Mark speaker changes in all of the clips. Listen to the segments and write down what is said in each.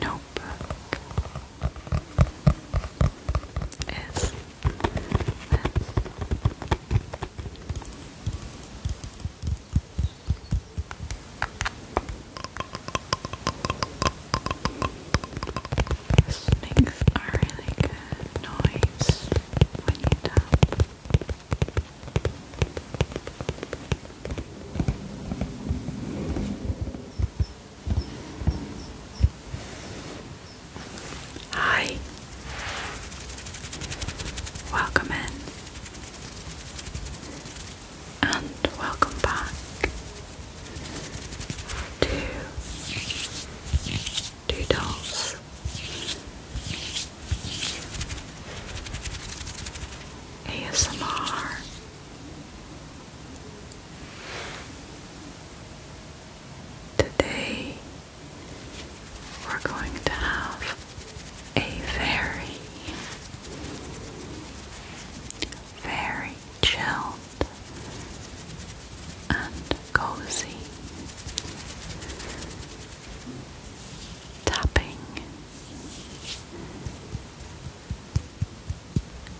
Speaker 1: Nope. Snakes are really good noise when you tap. Hi. Welcome in. And welcome back to Doodles. ASMR. Today we're going to have a very, very chilled and cozy tapping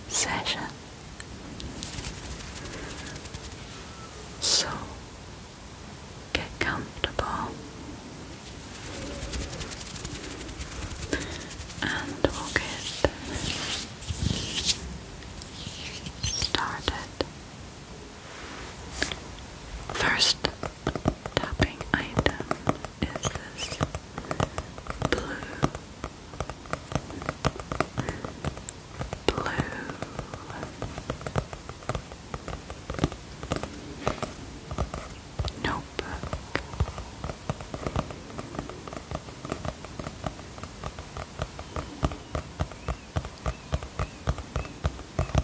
Speaker 1: session. So get comfortable and we'll get started. First, tapping item is this blue, blue. Notebook.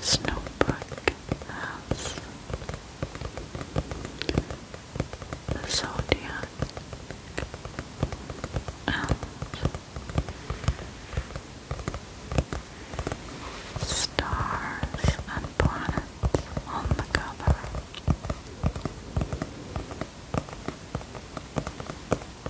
Speaker 1: This notebook has the zodiac stars and planets on the cover. Don't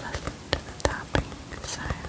Speaker 1: listen to the tapping sound.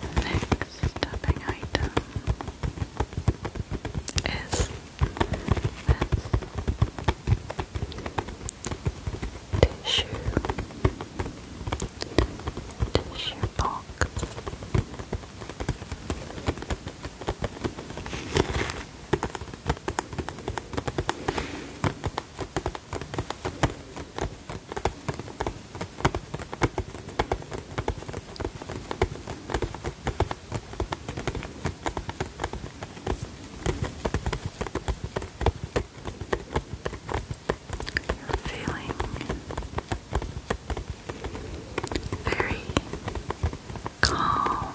Speaker 1: The next stepping item is with tissue, tissue box feeling very calm, calm.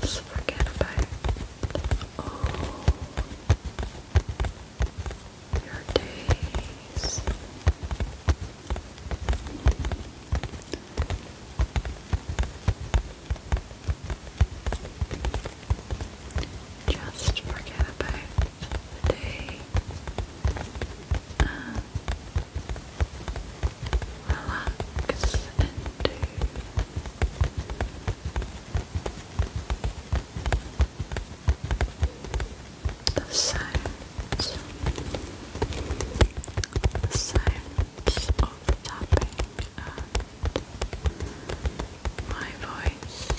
Speaker 1: just forget about your days. Just forget about the day um, relax into the sounds, the sounds of the topic. my voice.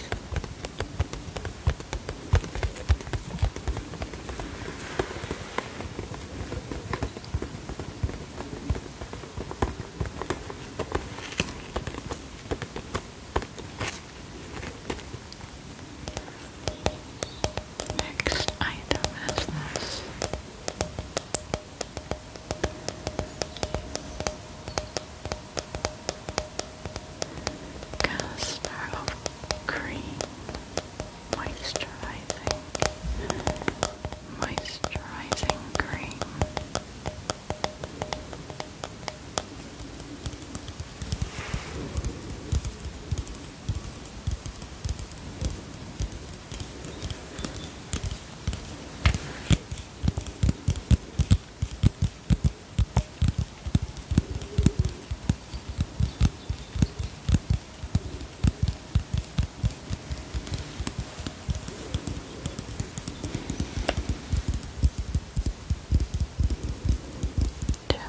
Speaker 1: Next item is this. of cream moisturizing, moisturizing cream.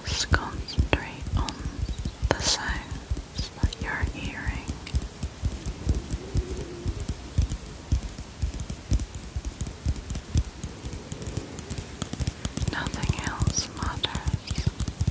Speaker 1: Just concentrate on the sounds that you're hearing. Nothing else matters.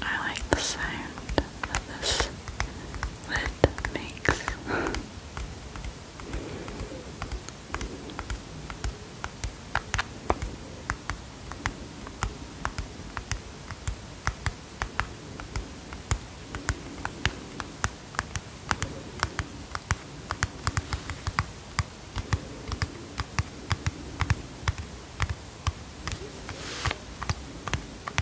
Speaker 1: I like the sound that this that makes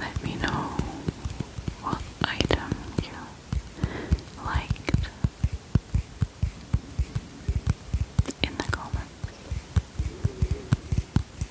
Speaker 1: Let me know what item you liked in the comments.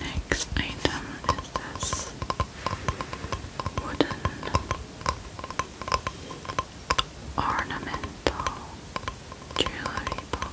Speaker 1: Next item is this wooden ornamental jewelry book.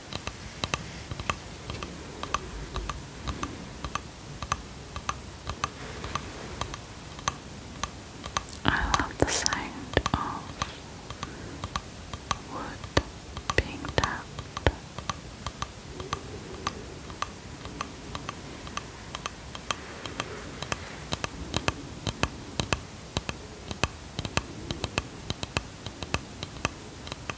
Speaker 1: I love the sound of wood being tapped.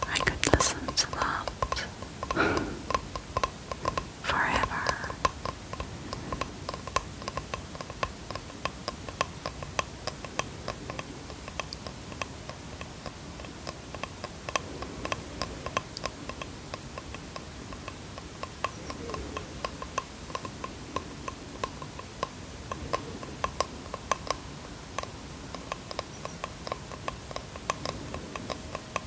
Speaker 1: I could listen to that forever.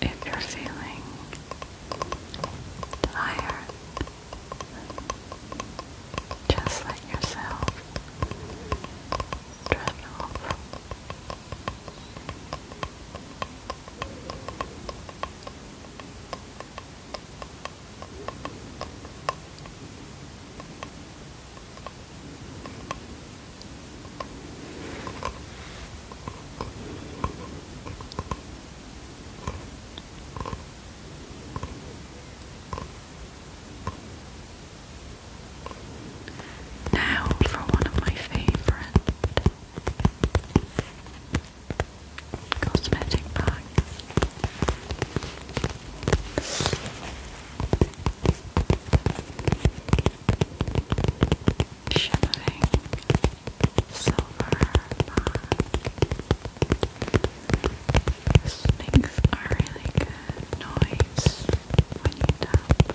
Speaker 1: If you're feeling tired, just let yourself drift off. Now for one of my favorite cosmetic bags shimmering silver Snakes are really good noise when you tap.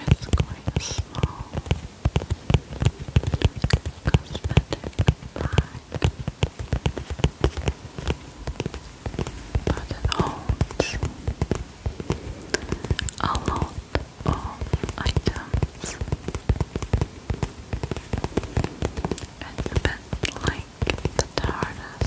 Speaker 1: It's quite small cosmetic bag but it holds a lot of items. It's a bit like the TARDIS.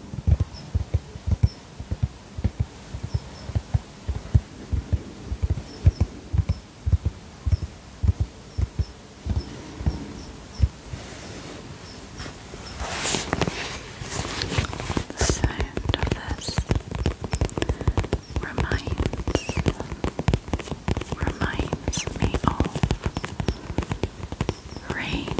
Speaker 1: The sound of this reminds reminds me of rain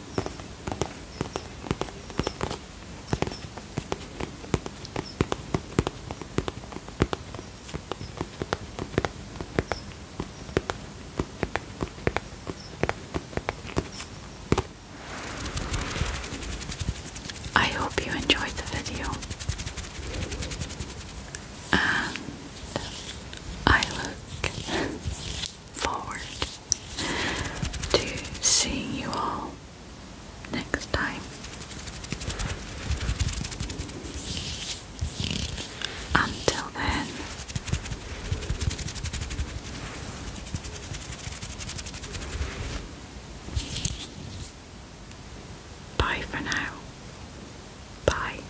Speaker 1: I hope you enjoyed the video, and I look forward to seeing you all next time. Until then, bye for now. Bye.